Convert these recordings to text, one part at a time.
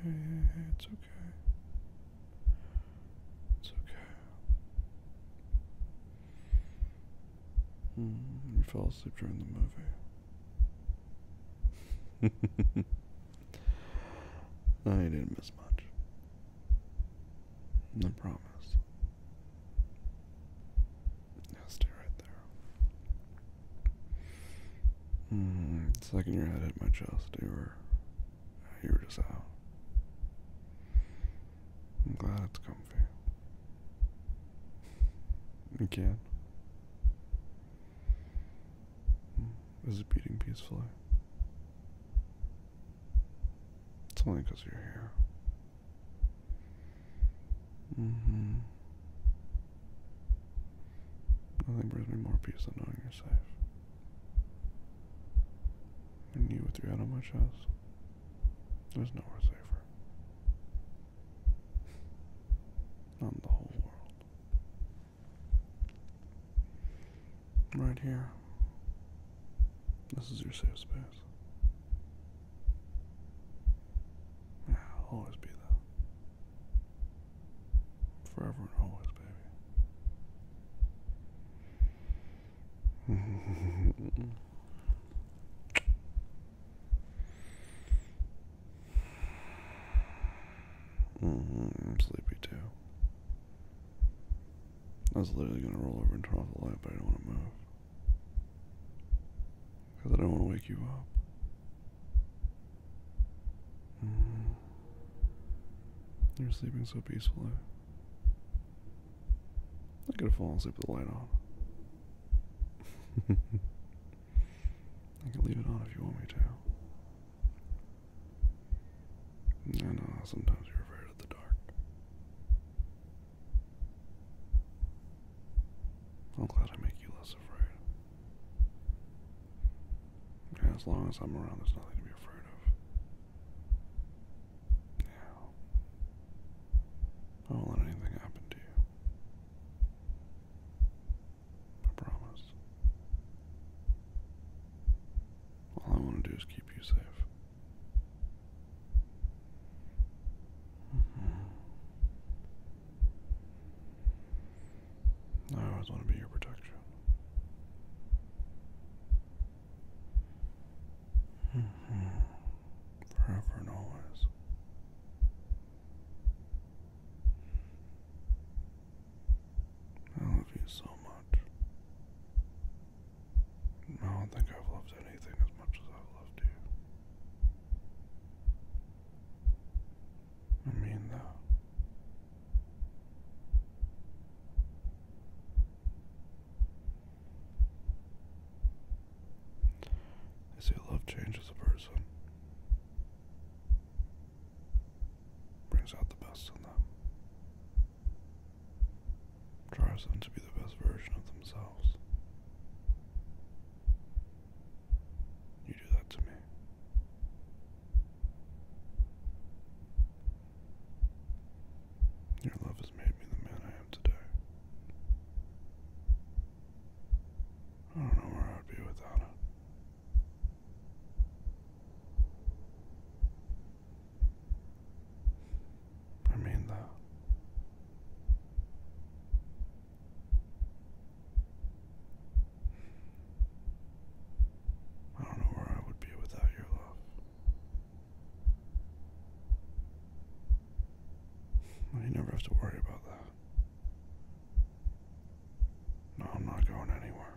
It's okay. It's okay. Hmm, you fell asleep during the movie. I didn't miss much. I promise stay right there. Mm, it's like in your head hit my chest. You were, you were just out. I'm glad it's comfy. You can. Hmm, is it beating peacefully? It's only because you're here. Mm-hmm. Nothing brings me more peace than knowing you're safe. And you with your head on my chest. There's nowhere safer. Not the whole world. Right here. This is your safe space. Yeah, I'll always be there. Forever and always, baby. Mm-hmm, I'm sleepy too. I was literally gonna roll over and turn off the light, but I do not want to move. Because I don't want to wake you up. Mm-hmm. You're sleeping so peacefully. I could have fallen asleep with the light on. I can leave it on if you want me to. I know sometimes you're afraid of the dark. I'm glad I make you less afraid. as long as I'm around, there's nothing to be afraid of. I won't let anything happen to you. I promise. All I want to do is keep you safe. Mm-hmm. I always want to be your protection. Mm-hmm. Forever and always. I love you so much. I don't think I've loved anything as much as I've loved you. I mean that. They say love changes a person. Brings out the best in them drives them to be the best version of themselves. You do that to me. Your love has made me the man I am today. I don't know where I'd be without it. I mean, though. I don't know where I would be without your love. you never have to worry about that. No, I'm not going anywhere.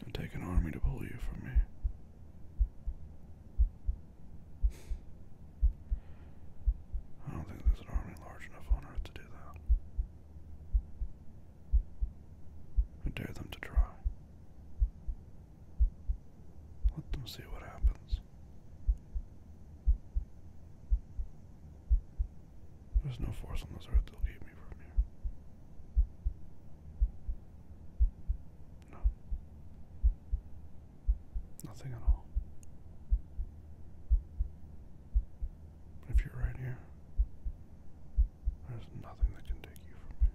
It would take an army to pull you from me. I don't think there's an army large enough on Earth to do that. I dare them to try. Let them see what happens. There's no force on this earth that'll keep me from here. No. Nothing at all. If you're right here, there's nothing that can take you from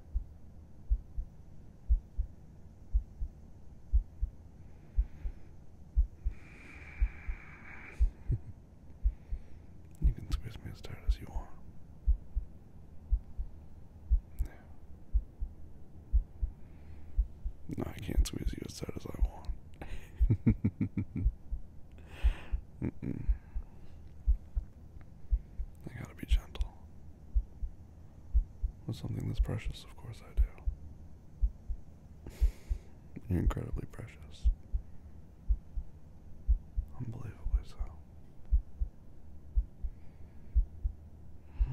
here. You can squeeze me as tight as you want. No, I can't squeeze you as tight as I want. I gotta be gentle. With something that's precious, of course I do incredibly precious. Unbelievably so.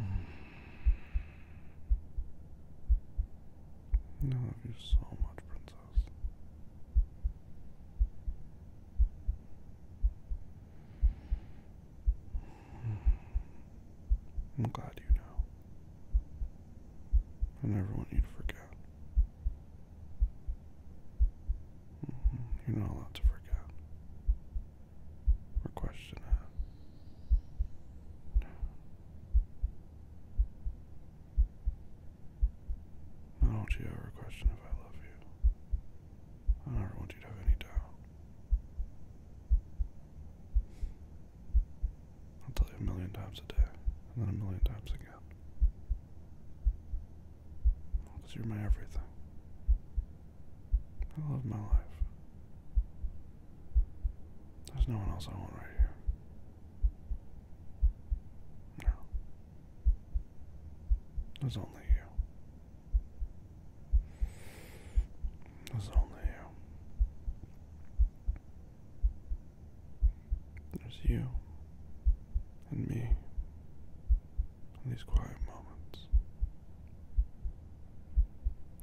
I love you so much, Princess. I'm glad you know. I never want you to forget. Mm-hmm. You're not allowed to forget or question it. No. don't you ever question if I love you. I never want you to have any doubt. I'll tell you a million times a day, and then a million times again. Because you're my everything. I love my life. There's no one else I want right here. No. There's only you. There's only you. There's you and me in these quiet moments.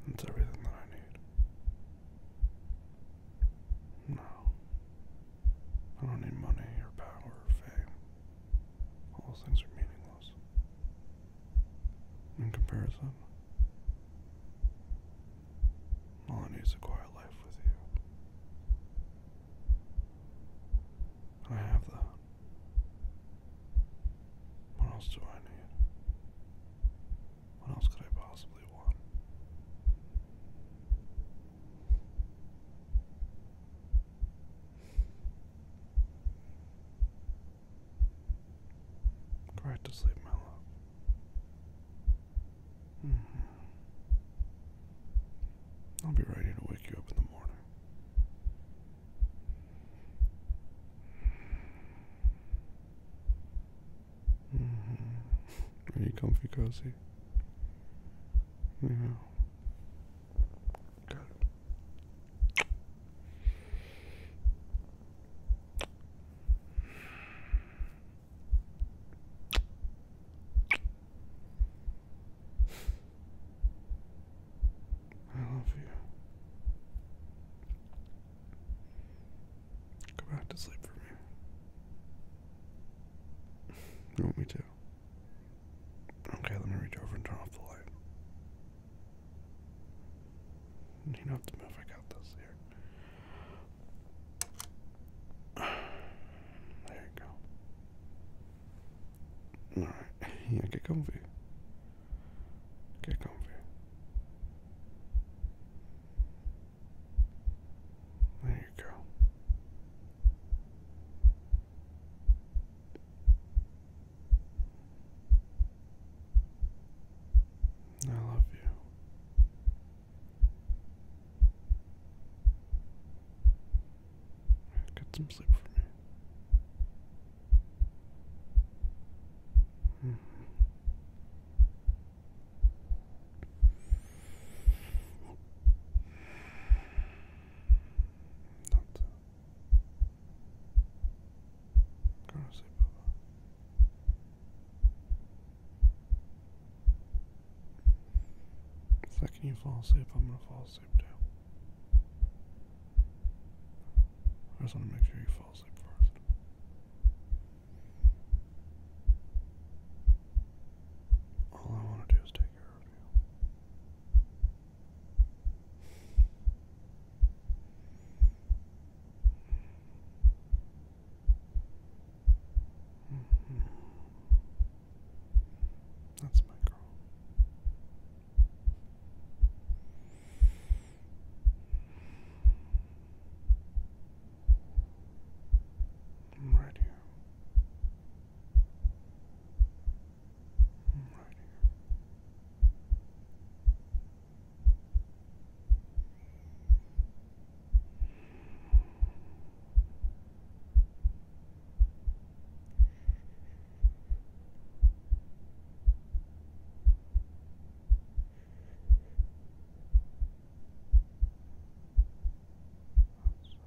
That's everything that I need. No. I don't need money or power or fame. All those things are meaningless. In comparison, all I need is a quiet life with you. I have that. What else do I need? What else could I possibly want? Go right to sleep, my love. Mm-hmm. I'll be ready to wake you up in the morning. Mm comfy, cozy? Yeah. Good. I love you. Go back to sleep for me. You want me to? Okay, let me reach over and turn off the light. You don't have to move, I got this There you go. Alright, yeah, get comfy. Get comfy. There you go. I love you. Get some sleep for me. -hmm. That's the second you fall asleep, I'm gonna fall asleep too. I just want to make sure you fall asleep first. All I want to do is take care of you. That's my girl. I'm right here. Right here. Oops.